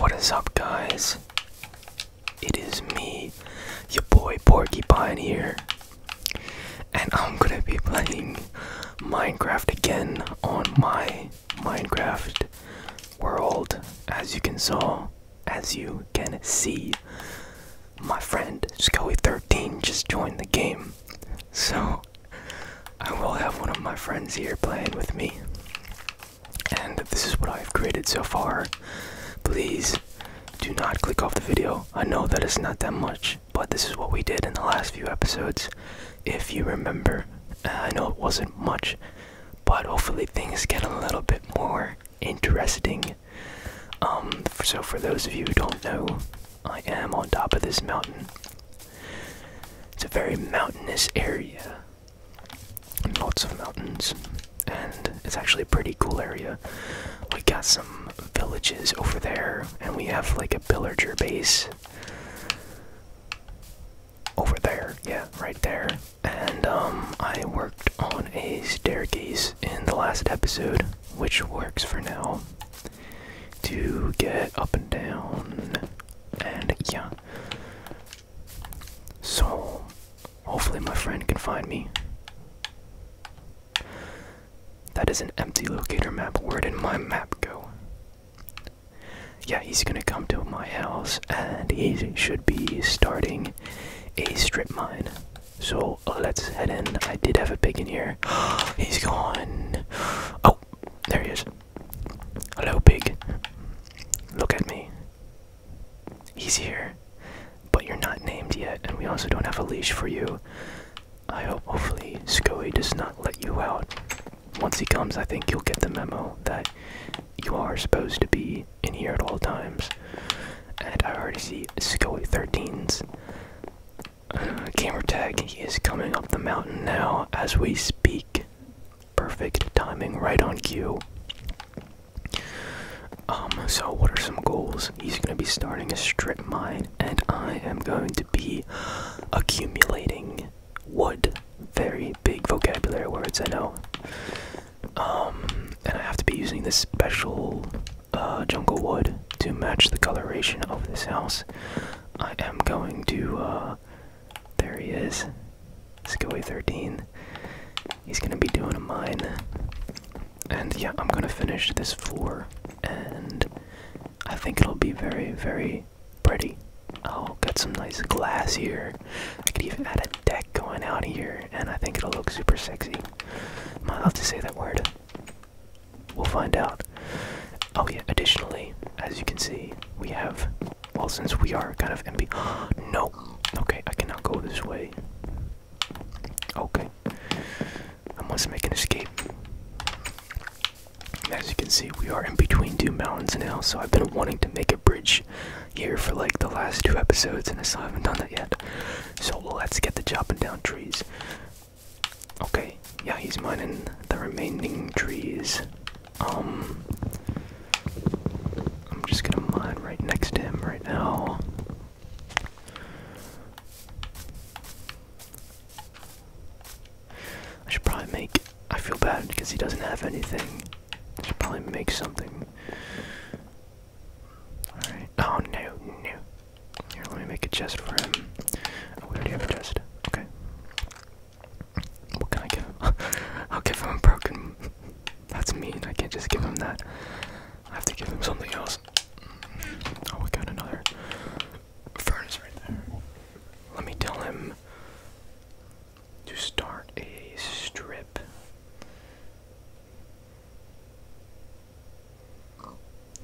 What is up, guys? It is me, your boy Porcupine here, and I'm gonna be playing Minecraft again on my Minecraft world. As you can saw, as you can see, my friend Scully13 just joined the game, so I will have one of my friends here playing with me. And this is what I've created so far. Please do not click off the video. I know that it's not that much, but this is what we did in the last few episodes. If you remember, uh, I know it wasn't much, but hopefully things get a little bit more interesting. Um, so for those of you who don't know, I am on top of this mountain. It's a very mountainous area lots of mountains, and it's actually a pretty cool area. We got some villages over there, and we have like a pillager base over there, yeah, right there. And um, I worked on a staircase in the last episode, which works for now, to get up and down. And yeah, so, hopefully, my friend can find me. That is an empty locator map. Where did my map go? Yeah, he's gonna come to my house and he should be starting a strip mine. So let's head in. I did have a pig in here. he's gone. Oh, there he is. Hello, big. Look at me. He's here. But you're not named yet, and we also don't have a leash for you. I hope, hopefully, Scoey does not let you out. Once he comes, I think you'll get the memo that you are supposed to be in here at all times. And I already see Scoey 13's uh, camera gamer tag. is coming up the mountain now as we speak. Perfect timing, right on cue. Um, so what are some goals? He's gonna be starting a strip mine, and I am going to be accumulating wood. Very big vocabulary words, I know. Um, and I have to be using this special uh, jungle wood to match the coloration of this house. I am going to uh, there he is. Skilly 13. He's gonna be doing a mine. And yeah, I'm gonna finish this floor, and I think it'll be very, very pretty. I'll get some nice glass here. I could even add a deck going out here, and I think it'll look super sexy. Am I allowed to say that word? We'll find out. Oh yeah, additionally, as you can see, we have. Well, since we are kind of empty. no! Okay, I cannot go this way. Okay. I must make an escape. As you can see, we are in between two mountains now, so I've been wanting to make a bridge here for like the last two episodes, and I still haven't done that yet. So let's get the chopping down trees. Okay, yeah, he's mining the remaining trees. Um, I'm just gonna mine right next to him right now. I should probably make. I feel bad because he doesn't have anything. I should probably make something. Alright. Oh no, no. Here, let me make a chest for him. Oh, we already have a chest. Okay. What can I give him? I'll give him a broken. That's mean. I can't just give him that. I have to give him something else. Oh, we got another furnace right there. Let me tell him to start a strip.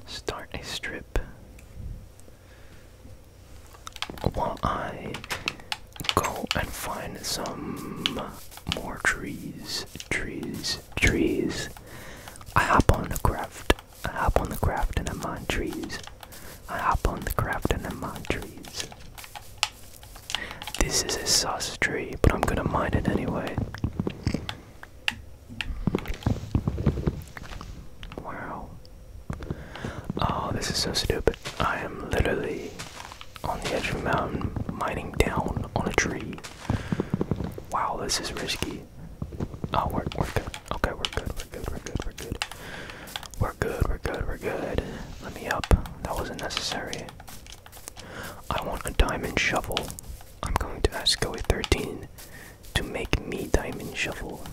Start a strip while I go and find some more trees, trees, trees. I hop on the craft. I hop on the craft and I mine trees. I hop on the craft and I mine trees. This is a sauce tree, but I'm gonna mine it anyway. Wow. Oh, this is so stupid. I am literally on the edge of a mountain, mining down on a tree. Wow, this is risky. Oh, we're, we're good. Okay, we're good, we're good, we're good, we're good. We're good, we're good, we're good. Let me up. That wasn't necessary. I want a diamond shovel. I'm going to ask Goey13 to make me Diamond Shovel,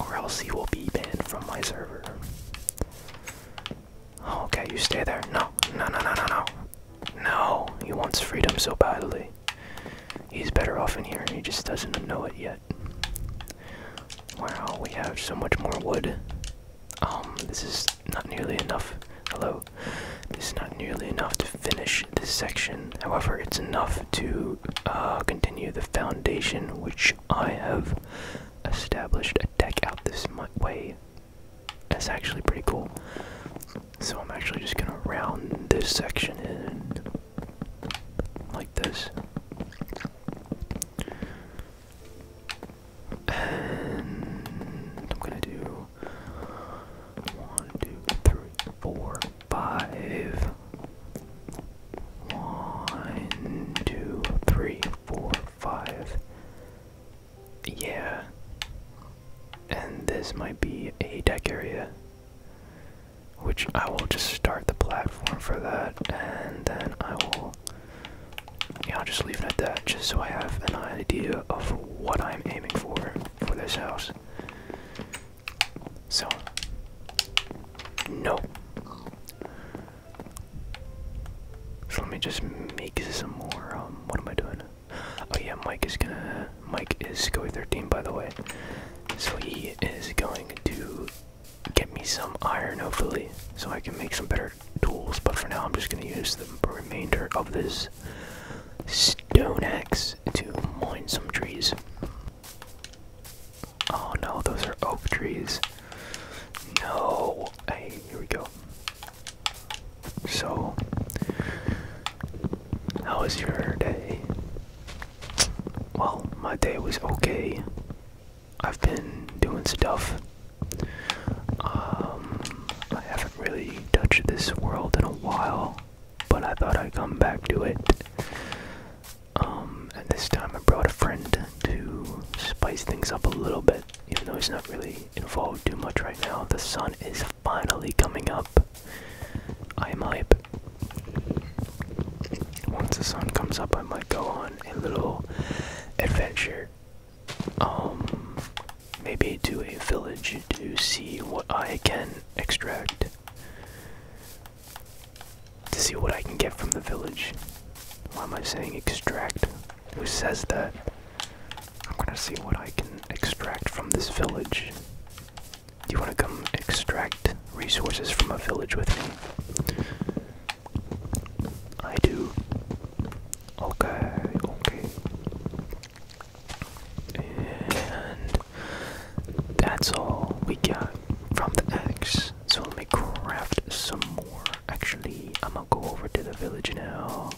or else he will be banned from my server. Oh, okay, you stay there. No, no, no, no, no, no. No, he wants freedom so badly. He's better off in here, and he just doesn't know it yet. Wow, we have so much more wood. Um, this is not nearly enough. Hello. This is not nearly enough to finish this section. However, it's enough to uh, continue the foundation which I have established a deck out this way. That's actually pretty cool. So I'm actually just gonna round this section in like this. And I'm gonna do one, two, three, four, five. One, two, three, four, five. Yeah. And this might be a deck area. Which I will just start the platform for that, and then I will. Yeah, I'll just leave it at that, just so I have an idea of what I'm aiming for for this house. So, no. So let me just make some more. Um, what am I doing? Oh yeah, Mike is gonna. Mike is going 13, by the way. So he is going to get me some iron, hopefully, so I can make some better tools. But for now, I'm just gonna use the remainder of this stone axe to mine some trees. Oh no, those are oak trees. No. Hey, here we go. So, how was your day? Well, my day was okay. I've been doing stuff. Um, I haven't really touched this world in a while but I thought I'd come back to it. Um, and this time I brought a friend to spice things up a little bit, even though he's not really involved too much right now. The sun is finally coming up. I might, Once the sun comes up, I might go on a little adventure. Um, maybe to a village to see what I can extract to see what I can get from the village. Why am I saying extract? Who says that? I'm gonna see what I can extract from this village. Do you wanna come extract resources from a village with me? I do. Okay, okay. And that's all we got from the eggs. So let me craft some more. Actually, I'm gonna go over to the village now.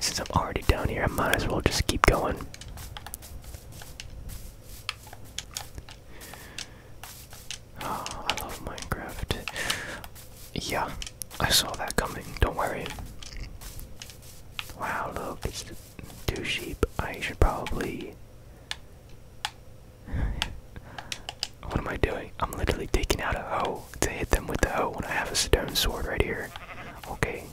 Since I'm already down here, I might as well just keep going. Ah, I love Minecraft. Yeah, I saw that coming. Don't worry. Wow, look, two sheep. I should probably. what am I doing? I'm literally taking out a hoe to hit them with the hoe when I have a stone sword right here. Okay.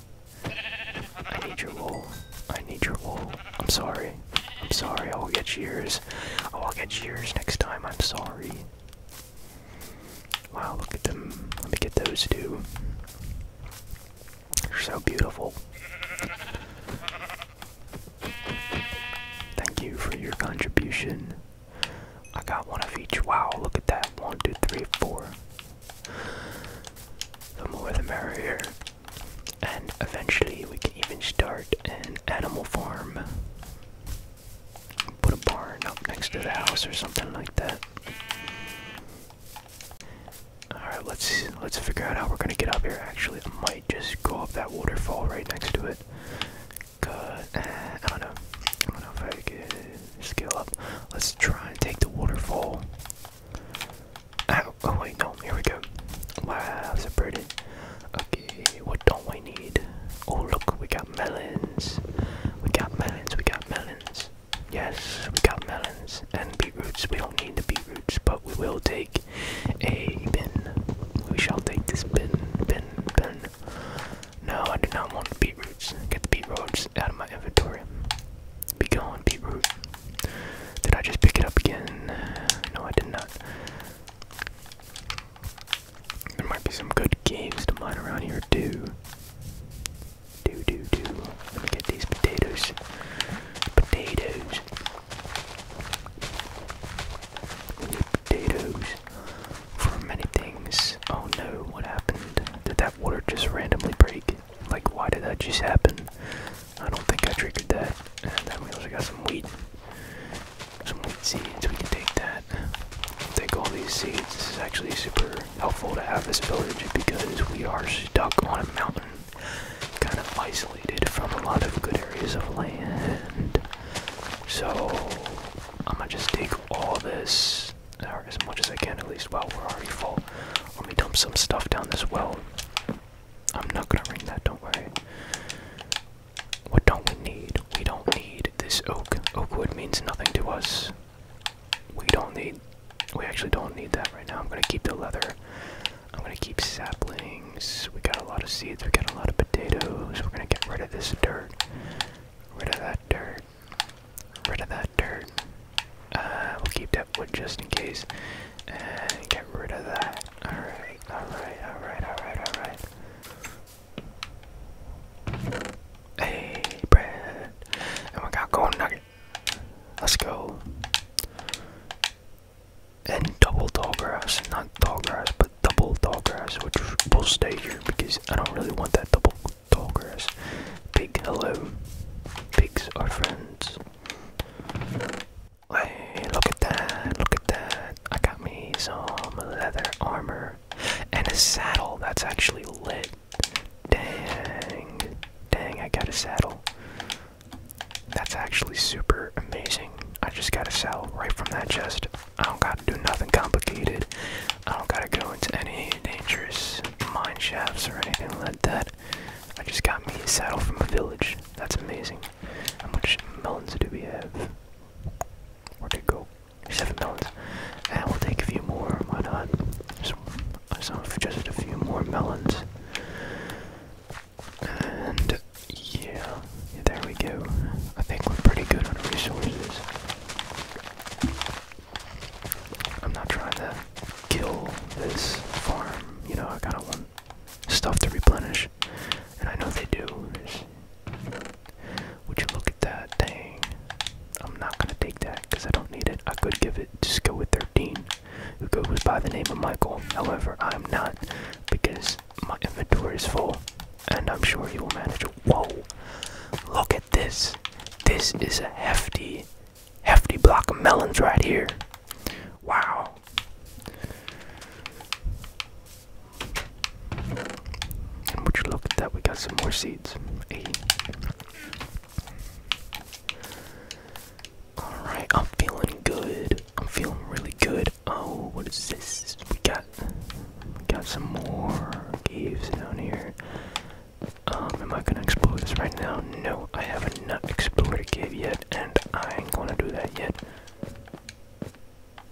I need your wool. I need your wool. I'm sorry. I'm sorry. I will get yours. Oh, I'll get yours next time. I'm sorry. Wow, look at them. Let me get those two. You're so beautiful. Thank you for your contribution. I got one of each. Wow, look at that. One, two, three, four. The more the merrier. And eventually we can even start an animal farm. Put a barn up next to the house or something like that. Alright, let's let's figure out how we're gonna get up here. Actually, I might just go up that waterfall right next to it. Cause eh, I don't know. I don't know if I could scale up. Let's try and take the waterfall. Ow. Oh wait, no, here we go. Wow, separated. Okay, what don't we need? Oh look, we got melons. We got melons, we got melons. Yes, we got melons and beetroots. We don't need the beetroots, but we will take a bin. We shall take this bin, bin, bin. No, I do not want the beetroots. Get the beetroots out of my inventory. Be going, gone, root. Did I just pick it up again? No, I did not. There might be some good caves to mine around here, too. Do do do. Let me get these potatoes. Potatoes. potatoes for many things. Oh no, what happened? Did that water just randomly break? Like, why did that just happen? I don't think I triggered that. And then we also got some wheat. Some wheat seeds. We can take that. take all these seeds. This is actually super helpful to have this village because we are stuck on a mountain, kind of isolated from a lot of good areas of land. So, I'm gonna just take all this, or as much as I can at least, while we're already full. Let me dump some stuff down this well. I'm not gonna ring that, don't worry. What don't we need? We don't need this oak. Oak wood means nothing to us we don't need we actually don't need that right now i'm gonna keep the leather i'm gonna keep saplings we got a lot of seeds we got a lot of potatoes we're gonna get rid of this dirt rid of that dirt rid of that dirt uh we'll keep that wood just in case and get rid of that all right all right all right all right all right Hey, Brad. And we got Golden Nugget. Let's go. And double Dollgrass. Not grass, but double grass, which will stay here because I don't really want that double grass. Pig, hello. Pigs are friends. Hey, look at that. Look at that. I got me some leather armor and a saddle. That's actually lit. Dang. Dang, I got a saddle. That's actually super amazing. I just got a saddle right from that chest. I don't gotta do nothing complicated. I don't gotta go into any dangerous mine shafts or anything like that. I just got me a saddle from a village. That's amazing. How much melons do we have? Where'd it go? seven melons, and we'll take a few more. Why not? Some, some just a few more melons, and yeah, there we go. I think we're pretty good on resources. I'm not trying to kill this farm. You know, I kind of want stuff to replenish, and I know they do. Would you look at that? Dang. I'm not gonna take that because I don't need it. I could give it Just go with 13, who goes by the name of Michael. However, I'm not because my inventory is full, and I'm sure you will manage it. Whoa! Look at this. This is a hefty, hefty block of melons right here. Wow would you look at that, we got some more seeds. Eight. Alright, I'm feeling good. I'm feeling really good. Oh, what is this? We got got some more caves down here. Um, am I gonna explore this right now? No, I haven't not explored a cave yet, and I ain't gonna do that yet.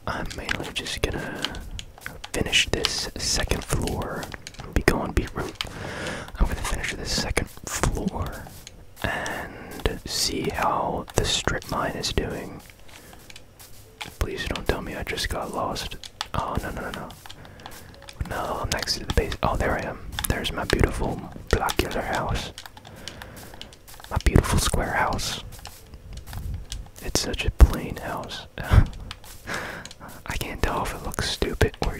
I'm mainly just gonna finish this second floor. Be gone, beat route. I'm gonna finish this second floor and see how the strip mine is doing. Please don't tell me I just got lost. Oh no no no no. No, I'm next to the base. Oh, there I am. There's my beautiful blockular house. My beautiful square house. It's such a plain house. I can't tell if it looks stupid or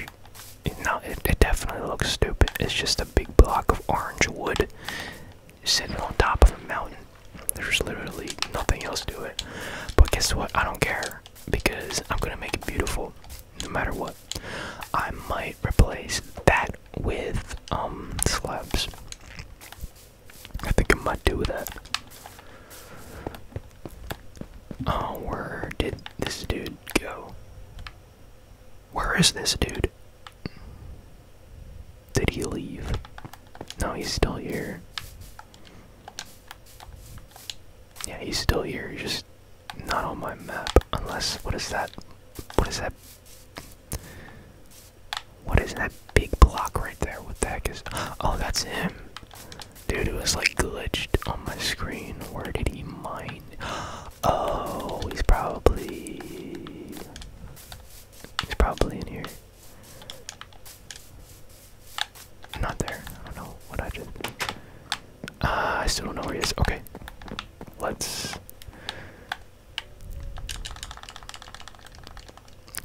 not. It, definitely looks stupid. It's just a big block of orange wood sitting on top of a mountain. There's literally nothing else to it. But guess what? I don't care because I'm gonna make it beautiful, no matter what. I might replace that with um slabs. I think I might do that. Oh, where did this dude go? Where is this dude? Did he leave? No, he's still here. Yeah, he's still here. just not on my map. Unless, what is that? What is that? What is that big block right there? What the heck is. Oh, that's him. Dude, it was like glitched on my screen. Where did he mine? Oh, he's probably. He's probably in here. Not there. I don't know what I did. Uh, I still don't know where he is. Okay. Let's.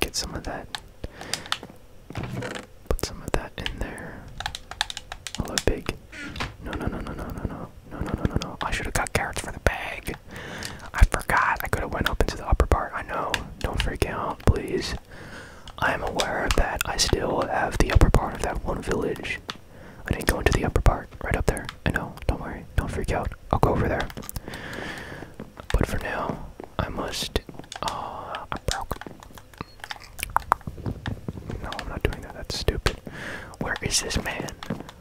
Get some of that. Put some of that in there. Hello, pig. No, no, no, no, no, no, no, no, no, no, no, no. I should have got carrots for the bag. I forgot. I could have went up into the upper part. I know. Don't freak out, please. I am aware that I still have the upper part of that one village. I didn't go into the upper part, right up there. I know. Don't worry. Don't freak out. I'll go over there. But for now, I must. Oh, uh, I broke. No, I'm not doing that. That's stupid. Where is this man?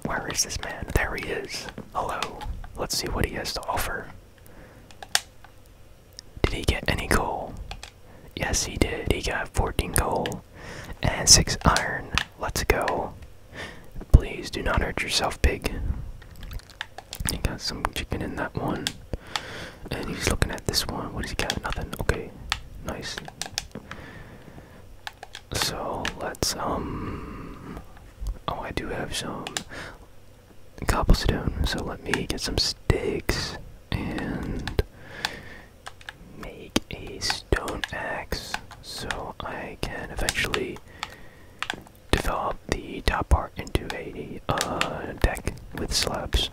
Where is this man? There he is. Hello. Let's see what he has to offer. Did he get any coal? Yes, he did. He got 14 coal and 6 iron. Let's go. Please do not hurt yourself, pig. He got some chicken in that one. And he's looking at this one. What does he got? Nothing. Okay. Nice. So let's um Oh I do have some cobblestone, so let me get some sticks and make a stone axe so I can eventually develop the top part into a uh, deck with slabs.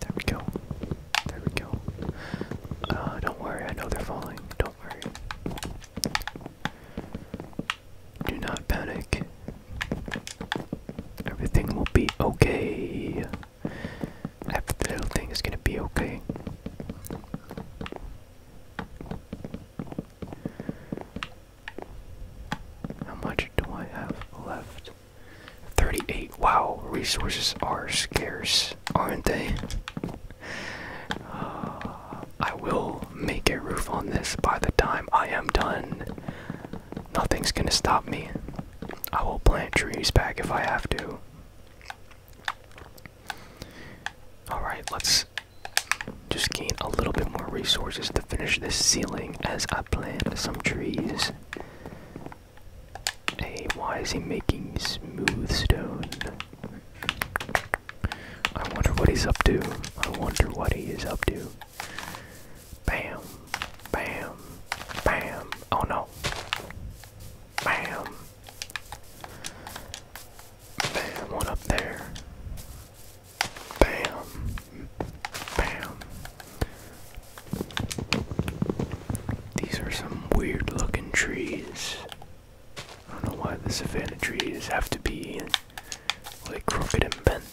There we go. There we go. Uh, don't worry, I know they're falling. Don't worry. Do not panic. Everything will be okay. Every is gonna be okay. How much do I have left? 38. Wow, resources are scarce, aren't they? Uh, I will make a roof on this by the time I am done. Nothing's gonna stop me. I will plant trees back if I have to. Alright, let's just gain a little bit more resources to finish this ceiling as I plant some trees. Hey, why is he making smooth stone? I wonder what he's up to. I wonder what he is up to. Bam, bam, bam. Oh no. Bam. Bam, one up there. Bam. Bam. These are some weird looking trees. I don't know why the savannah trees have to be like crooked and bent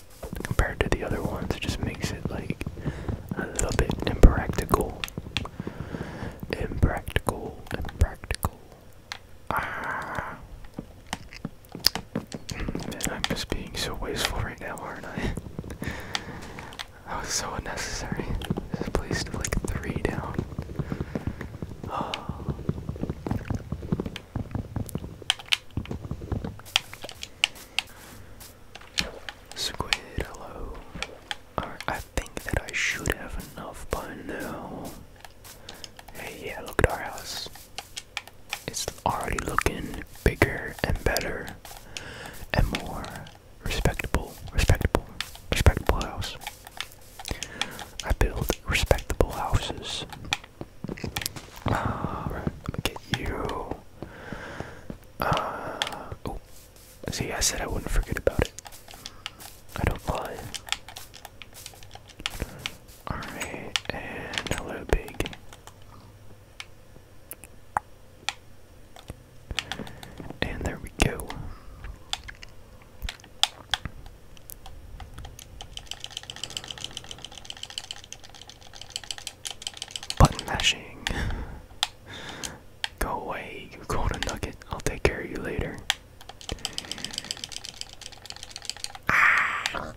compared to the other ones. It just makes it like a little bit impractical. Impractical, impractical, Ah. I'm just being so wasteful right now, aren't I? that was so unnecessary. This place to like three down. Oh. Squid, hello. I think that I should have enough by now. Hey, yeah, look at our house. It's already looking bigger and better and more respectable, respectable, respectable house. I build respectable houses. Alright, let me get you. Uh, See, I said I wouldn't forget about it. I don't lie. Alright, and hello, big. And there we go. Button mashing. Go away, you are golden nugget. I'll take care of you later. Ah.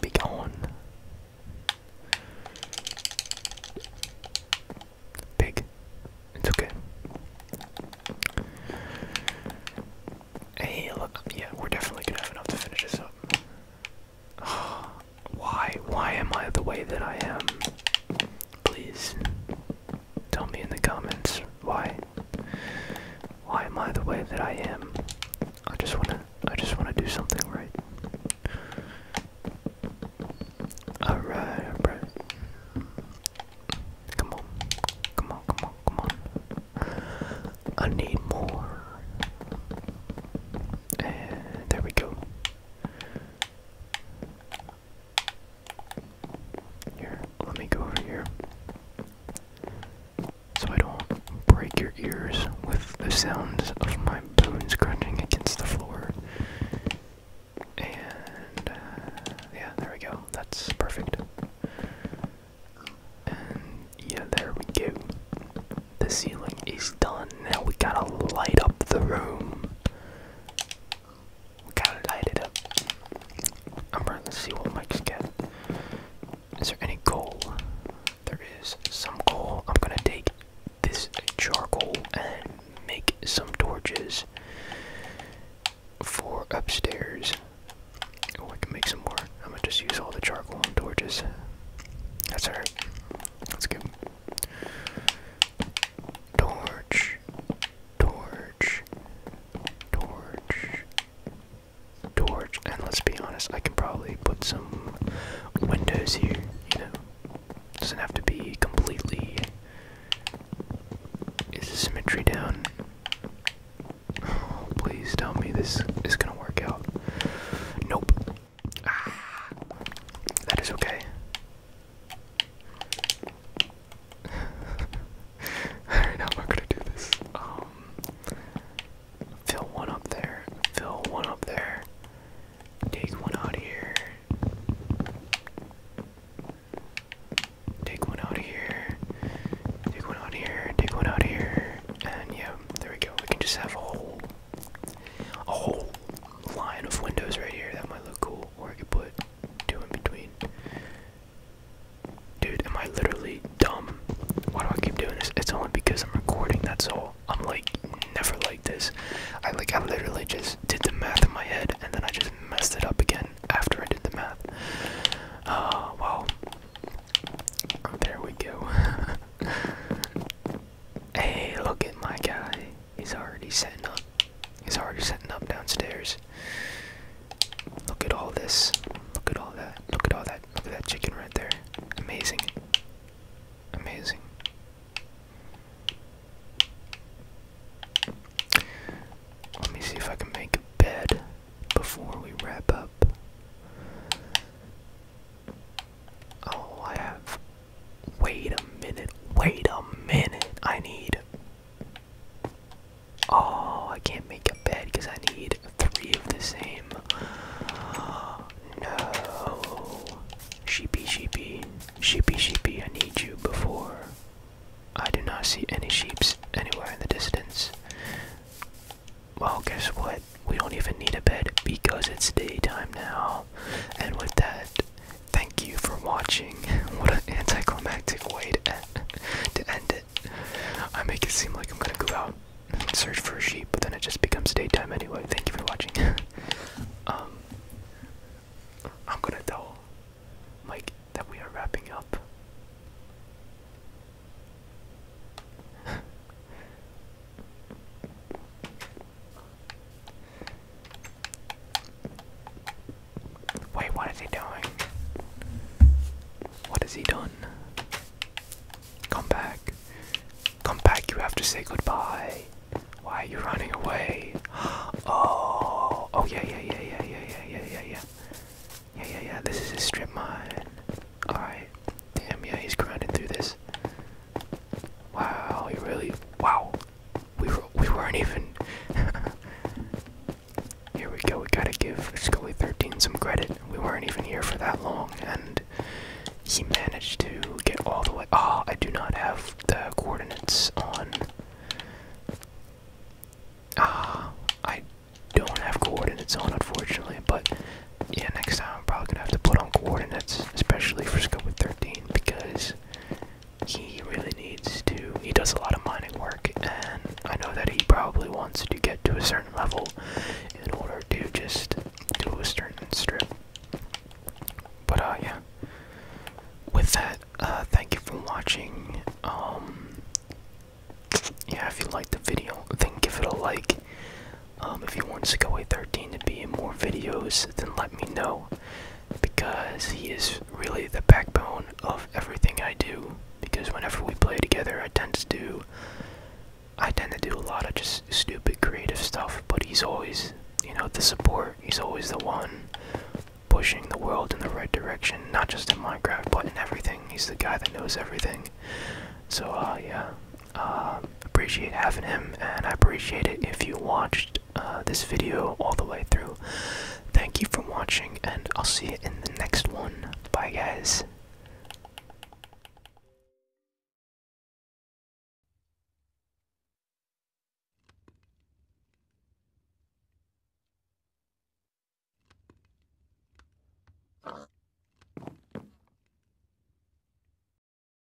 Be gone. Pig. It's okay. Hey, look. Yeah, we're definitely gonna have enough to finish this up. Why? Why am I the way that I am? Please. Tell me in the comments why why am I the way that I am? I just wanna I just wanna do something right. Alright, alright. Come on. Come on, come on, come on. I need more. And there we go. Here, let me go over here. So I don't break your ears with the sounds of my bones crunching against the floor. And, uh, yeah, there we go. That's perfect. And, yeah, there we go. The ceiling is done. Now we gotta light up the room. We gotta light it up. I'm running to see what Mike's got. Is there any coal? There is some coal. I'm gonna take this charcoal and make some torches for upstairs. Oh, I can make some more. I'm gonna just use all the charcoal and torches. That's alright. That's good. Torch, torch, torch, torch. And let's be honest, I can probably put some windows here, you know. Doesn't have to be completely. Is the symmetry down? Oh, please tell me this is gonna work out. Nope. Ah, that is okay. I don't know how I'm gonna do this. Um, fill one up there. Fill one up there. Take one out of here. Take one out of here. Take one out of here. Take one out of here. And yeah, there we go. We can just have a whole, a whole line of windows right here. That might look cool. Or I could put two in between. Dude, am I literally dumb? Why do I keep doing this? It's only because I'm recording, that's all. I'm like never like this. I like I literally just did the math in my head and then I just messed it up again after I did the math. Uh well there we go. hey, look at my guy. He's already setting up. He's already setting up downstairs. Look at all this. Look at all that. Look at all that. Look at that chicken right there. Amazing. Amazing. Let me see if I can make a bed before we wrap up. Oh, I have Wait a minute, wait a minute. I need. Oh, I can't make a bed because I need three of the same. No. Sheepy, sheepy. Sheepy, sheepy, I need you before. I do not see any sheeps anywhere in the distance. Well, guess what? We don't even need a bed because it's daytime now. And with that, Thank you for watching. What an anticlimactic way to end, it. I make it seem like I'm gonna go out and search for a sheep, but then it just becomes daytime anyway. Thank you for watching. um, I'm gonna tell Mike that we are wrapping up. Wait, what is he doing? What has he done? Come back. Come back, you have to say goodbye. Why are you running away? Oh, oh yeah, yeah, yeah, yeah, yeah, yeah, yeah, yeah, yeah. Yeah, yeah, yeah, this is his strip mine. Alright. Damn, yeah, he's grinding through this. Wow, we really wow. We were, we weren't even Here we go, we gotta give Scully 13 some credit. We weren't even here for that long and he managed to get all the way Ah, oh, I do not have the coordinates on Ah, I don't have coordinates on unfortunately, but yeah, next time I'm probably gonna have to put on coordinates, especially for Scully 13, because he really needs to. He does a lot of mining work, and I know that he probably wants to get to a certain level in order to just do a certain strip. But, uh, yeah. With that, uh, thank you for watching. Um, yeah, if you liked the video, then give it a like. Um, if you want away 13 to be in more videos, then let me know because he is really the backbone of everything I do. Because whenever we play together, I tend to do, I tend to do a lot of just stupid creative stuff. But he's always, you know, the support. He's always the one pushing the world in the right direction, not just in Minecraft, but in everything. He's the guy that knows everything. So, uh, yeah, um, appreciate having him, and I appreciate it if you watched uh, this video all the way through. Thank you for watching, and I'll see you in the next one. Bye, guys.